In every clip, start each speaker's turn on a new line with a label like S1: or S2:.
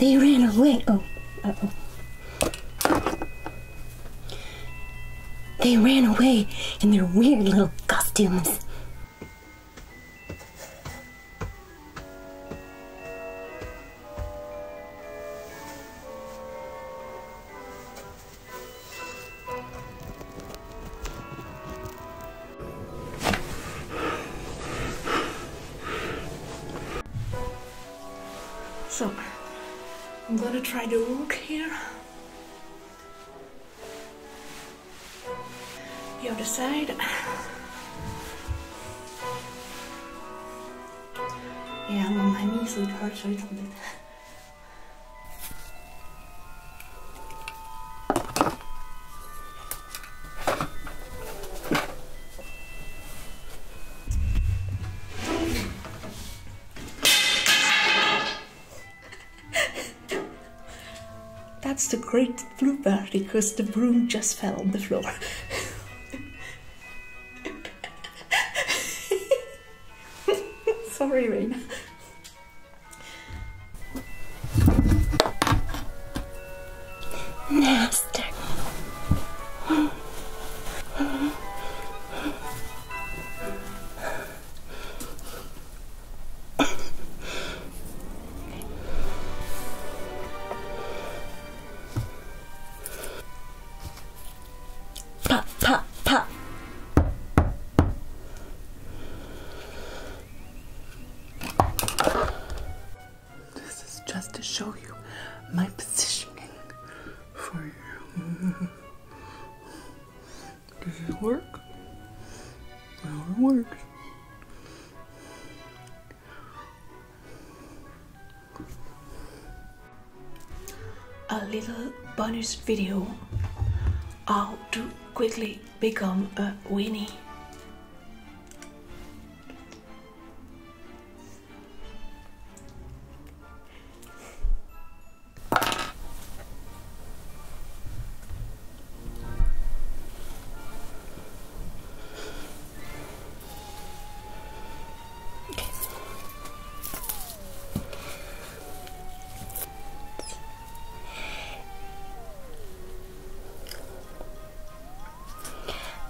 S1: They ran away. Oh, oh. They ran away in their weird little costumes.
S2: So, I'm gonna try the rook here. The other side. Yeah, I'm on my knees, sweetheart, so a little bit. That's the great bluebird because the broom just fell on the floor. Sorry, Raina. Nasty.
S1: Pop! Pop! Pop!
S3: This is just to show you my positioning for you. Does it work? Well, it works.
S2: A little bonus video how to quickly become a Winnie.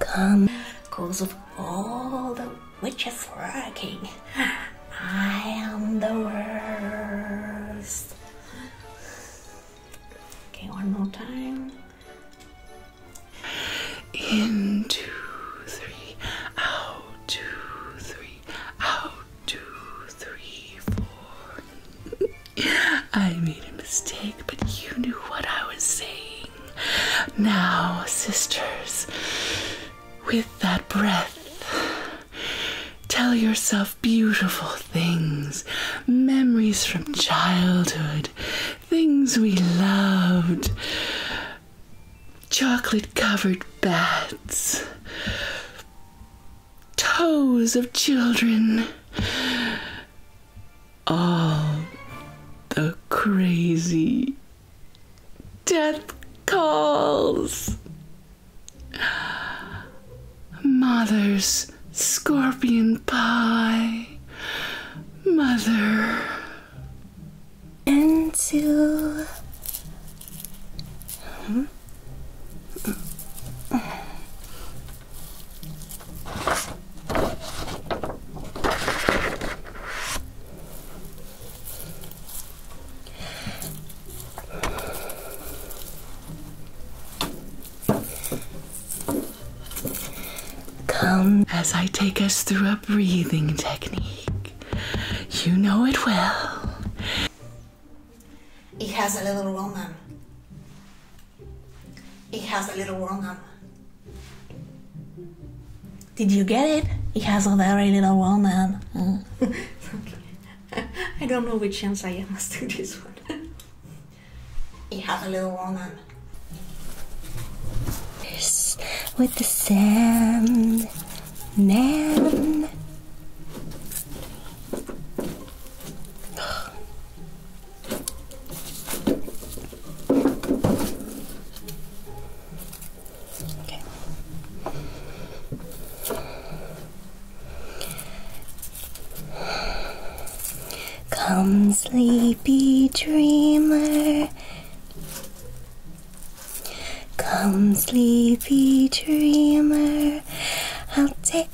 S2: Come, cause of all the witches working, I am the worst. Okay, one more time.
S3: In two, three, out, two, three, out, two, three, four. I made a mistake, but you knew what I was saying. Now, sisters, with that breath, tell yourself beautiful things, memories from childhood, things we loved chocolate covered bats, toes of children, all the crazy death calls. Mothers scorpion pie, mother. And to. Come as I take us through a breathing technique. You know it well.
S2: It has a little wrong It has a little wrong Did you get it? It has a very little wrong okay. I don't know which answer I am to do this one. You have a little woman.
S1: With the sand man. Okay. Come, sleepy dreamer. Come, sleepy dreamer. I'll take.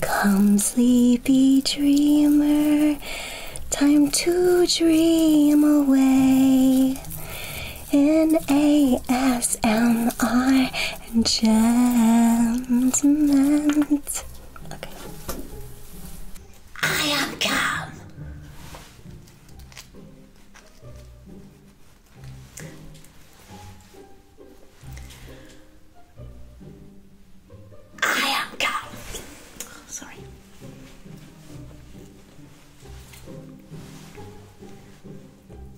S1: Come, sleepy dreamer. Time to dream away in ASMR and I am calm.
S3: I am calm. Oh, sorry.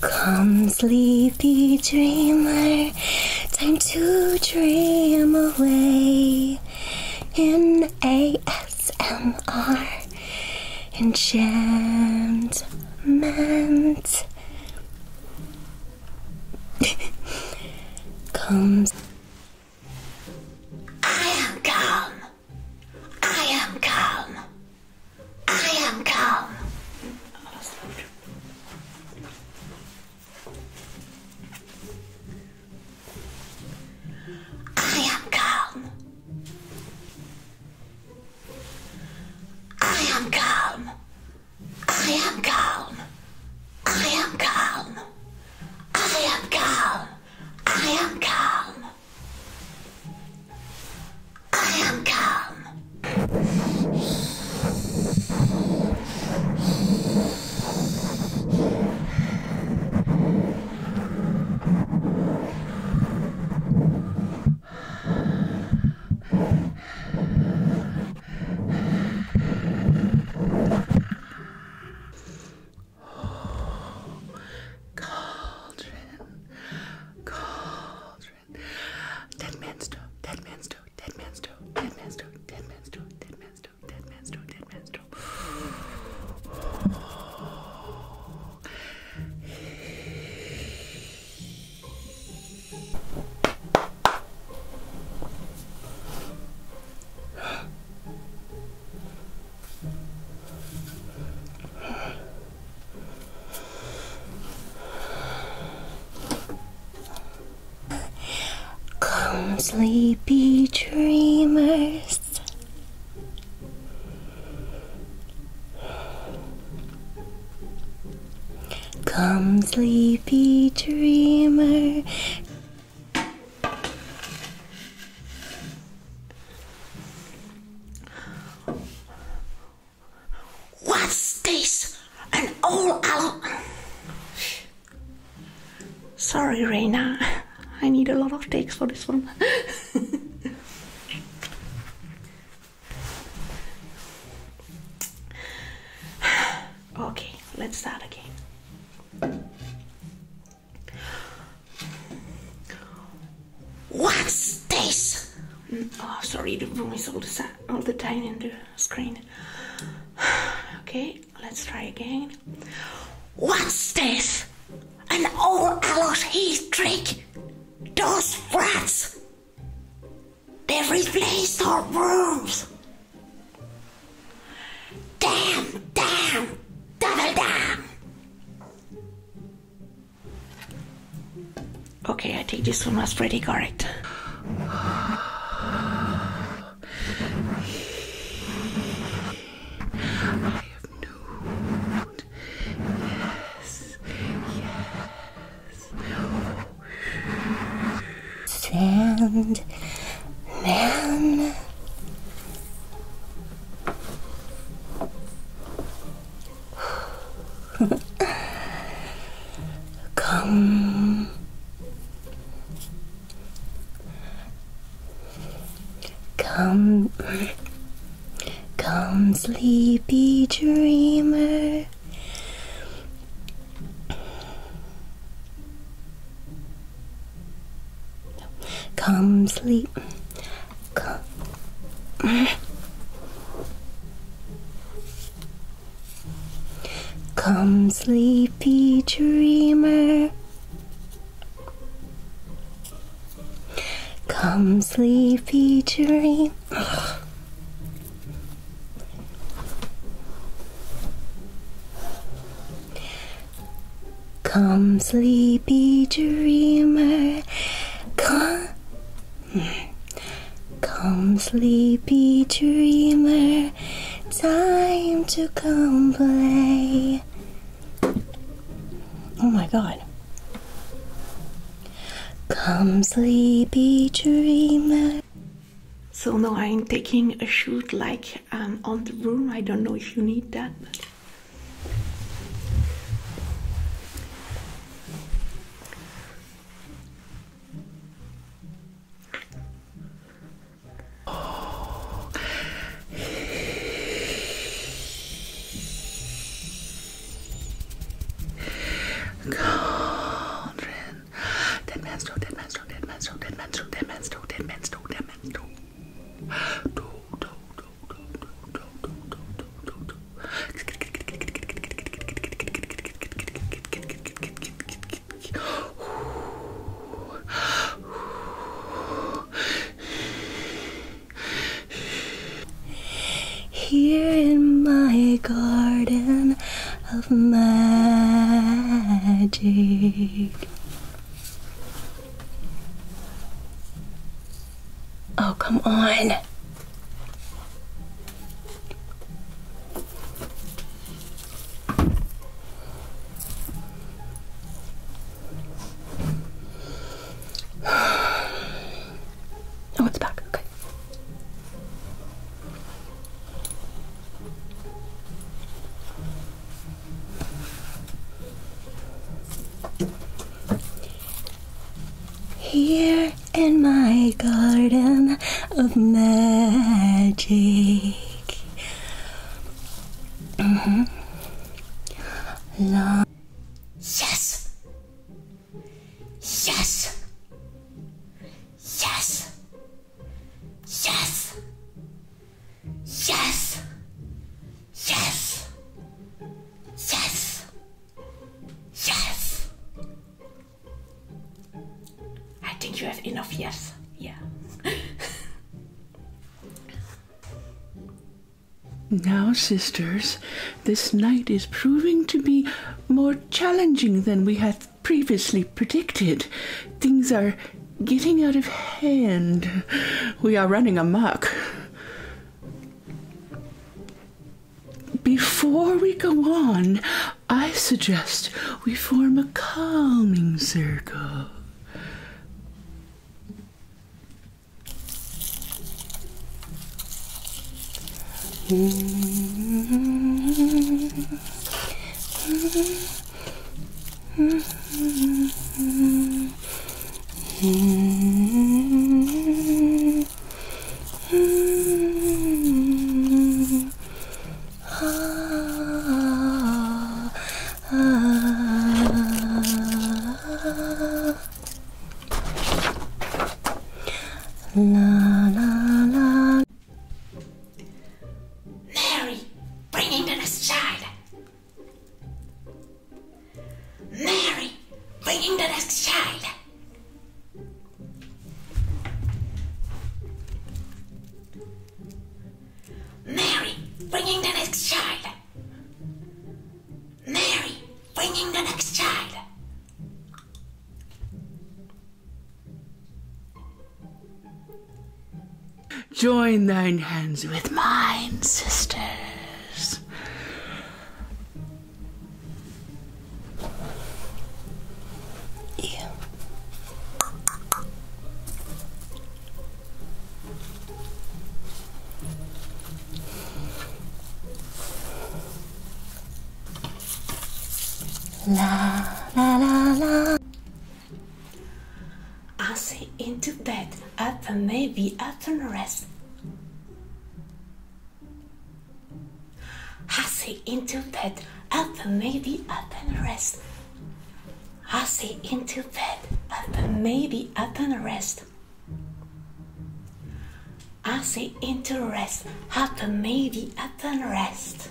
S1: Come, sleepy dreamer, time to dream away in ASMR enchantment. come. I
S2: am calm. I am calm. I am calm. I am calm. I am calm. I am calm. I am calm. I am calm. I am calm. I am calm.
S3: Cauldron, cauldron, different. Dead man's toe, dead man's toe, dead man's toe, dead man's toe, dead man's toe, dead man's toe, dead man's toe, dead man's toe.
S1: Come, sleepy dreamers. Come, sleepy dreamer. What's
S2: this? An old al- Sorry, Reina. I need a lot of takes for this one. okay, let's start again. What's this? Mm, oh, sorry, the room is all the same all the time in the screen. Okay, let's try again. What's this? An old a Alice Heath trick? Those rats! They replaced our rooms! Damn, damn, double damn! Okay, I think this one was pretty correct.
S3: Yes.
S1: Yes. No. Come. Come. Come, sleepy dreamer. Come sleep. Come, Come, sleepy dreamer. Come, sleepy dream. Come, sleepy dreamer. Come, Come, sleepy dreamer, time to come play. Oh my god.
S2: Come, sleepy dreamer. So now I'm taking a shoot like um, on the room. I don't know if you need that.
S3: Oh. Cauldron. Dead man's toe, dead man's toe, dead man's toe, dead man's toe, dead man's toe, dead man's toe, dead man's toe. Toe, toe, toe, toe,
S1: here in my garden of magic. Oh, come on.
S3: Oh, it's back. Okay.
S1: Here in my garden of magic. Mm-hmm. Long yes, yes, yes, yes, yes, yes.
S2: Yes! I think you have enough yes. Yeah.
S3: now, sisters, this night is proving to be more challenging than we had previously predicted. Things are getting out of hand. We are running amok. Before we go on, I suggest we form a calming circle. Mm-hmm.
S1: -hmm. ah, La la la.
S2: Mary, bring in the next child. Mary, bringing the next child.
S3: Mary, bringing the next child.
S1: Mary, bringing the next child.
S3: Join thine hands with mine, sisters. Yeah.
S1: La la la la.
S2: I'll say bed, up and maybe up and rest. Hussy into bed, up and maybe up and rest. Hussy into bed, up and maybe up and rest. Hussy into rest, up and maybe up and rest.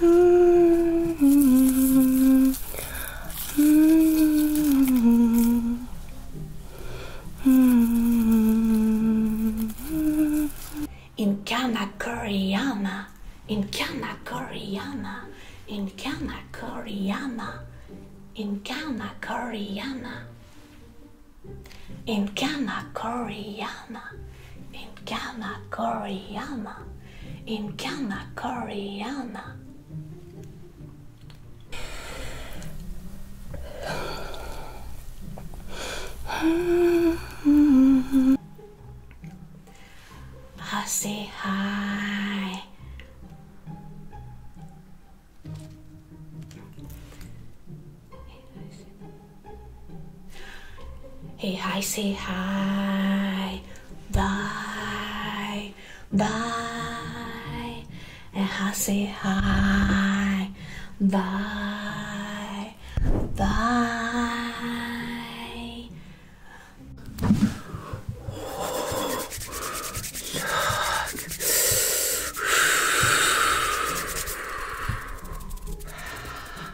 S1: Mm -hmm.
S2: Mm -hmm. In Kana Koreana, in Kana Koreana, in Kana Koreana, in Kana Koreana, in Kana Koreana in Kanakoriyama, in Kanakoriyama. I say hi. Hey, I say hi. Bye. Bye. And I say hi. Bye. Bye.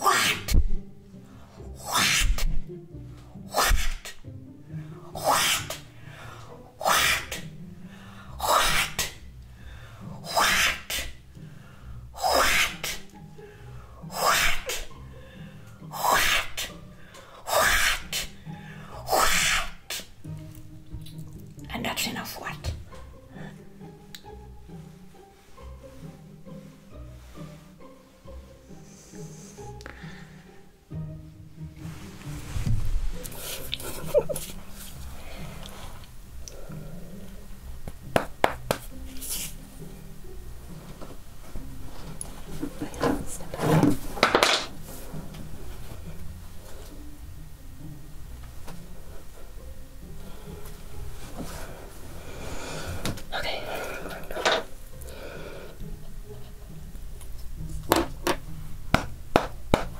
S3: What? What? What? What? What? What? What? What? What? What? What?
S2: What? And that's enough what?
S1: Step back. Okay.